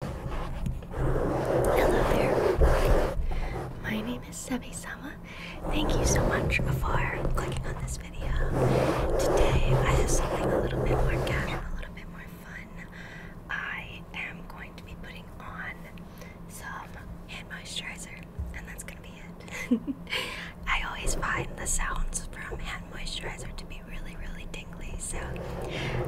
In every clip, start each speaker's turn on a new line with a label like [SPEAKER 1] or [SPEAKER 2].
[SPEAKER 1] Hello there. My name is Sebi Sama. Thank you so much for clicking on this video. Today I have something a little bit more casual, a little bit more fun. I am going to be putting on some hand moisturizer, and that's gonna be it. I always find the sounds from hand moisturizer to be really, really dingly, so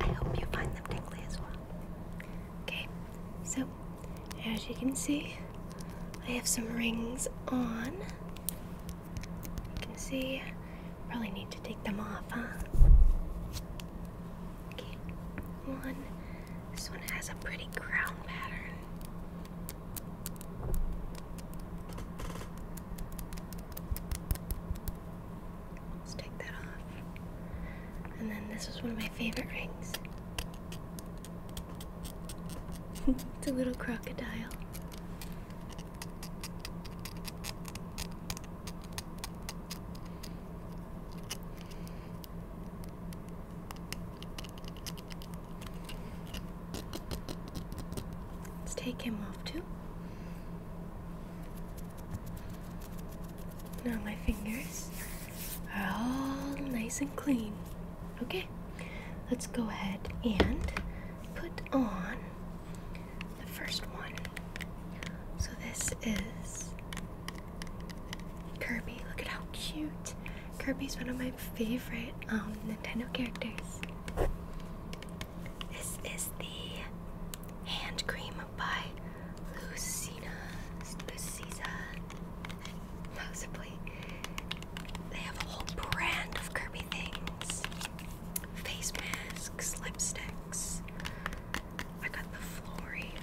[SPEAKER 1] I hope you find as well. Okay, so as you can see, I have some rings on. You can see, probably need to take them off, huh? one. This one has a pretty crown pattern. Let's take that off. And then this is one of my favorite rings. it's a little crocodile. Let's take him off too. Now my fingers are all nice and clean. Okay, let's go ahead and put on the first one. So this is Kirby. Look at how cute. Kirby's one of my favorite um, Nintendo characters. This is the hand cream by Lucina Luciza. Possibly. They have a whole brand of Kirby things. Face masks, lipsticks. I got the Flory.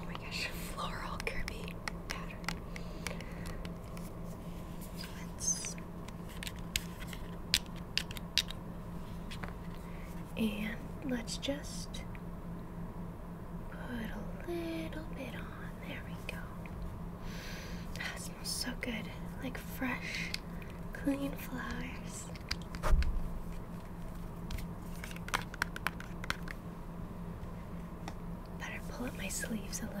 [SPEAKER 1] Oh my gosh, floral Kirby pattern and let's just put a little bit on. There we go. That smells so good. Like fresh, clean flowers. Better pull up my sleeves a little.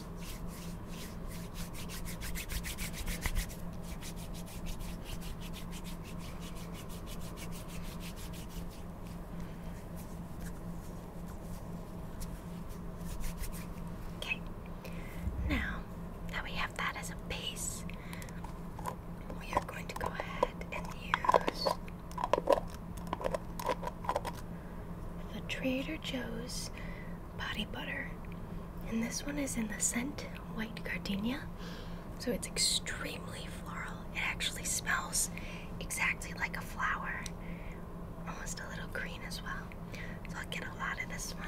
[SPEAKER 1] Okay, now that we have that as a base, we are going to go ahead and use the Trader Joe's body butter. And this one is in the scent White Gardenia. So it's extremely floral. It actually smells exactly like a flower, almost a little green as well. So i get a lot of this one.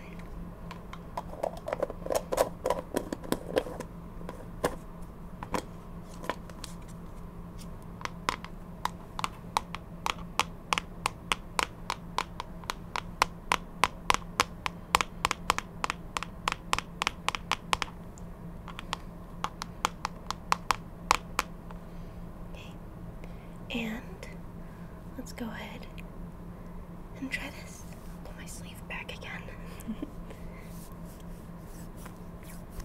[SPEAKER 1] Okay. And let's go ahead and try this. I'll pull my sleeve back again.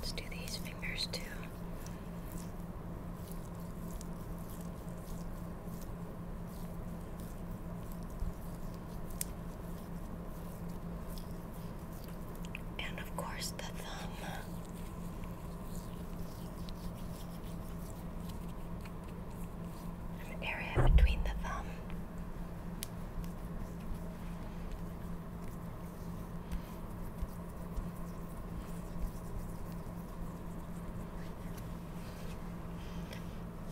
[SPEAKER 1] Let's do these fingers too. And of course, the thumb. An area between the thumb.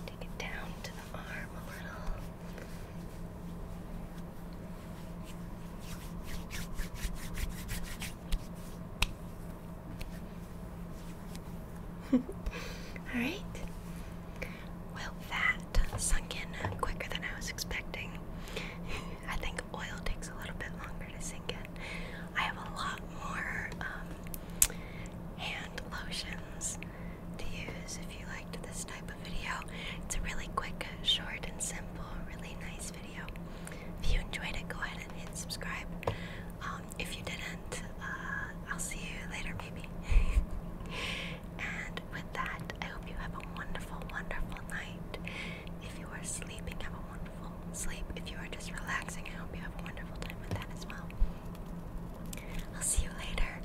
[SPEAKER 1] Take it down to the arm a little. Alright. Well, that sunk in quicker than I was expecting. I think oil takes a little bit longer to sink in. I have a lot more um, hand lotions to use if you liked this video. It's a really quick, short, and simple, really nice video. If you enjoyed it, go ahead and hit subscribe. Um, if you didn't, uh, I'll see you later, maybe. and with that, I hope you have a wonderful, wonderful night. If you are sleeping, have a wonderful sleep. If you are just relaxing, I hope you have a wonderful time with that as well. I'll see you later.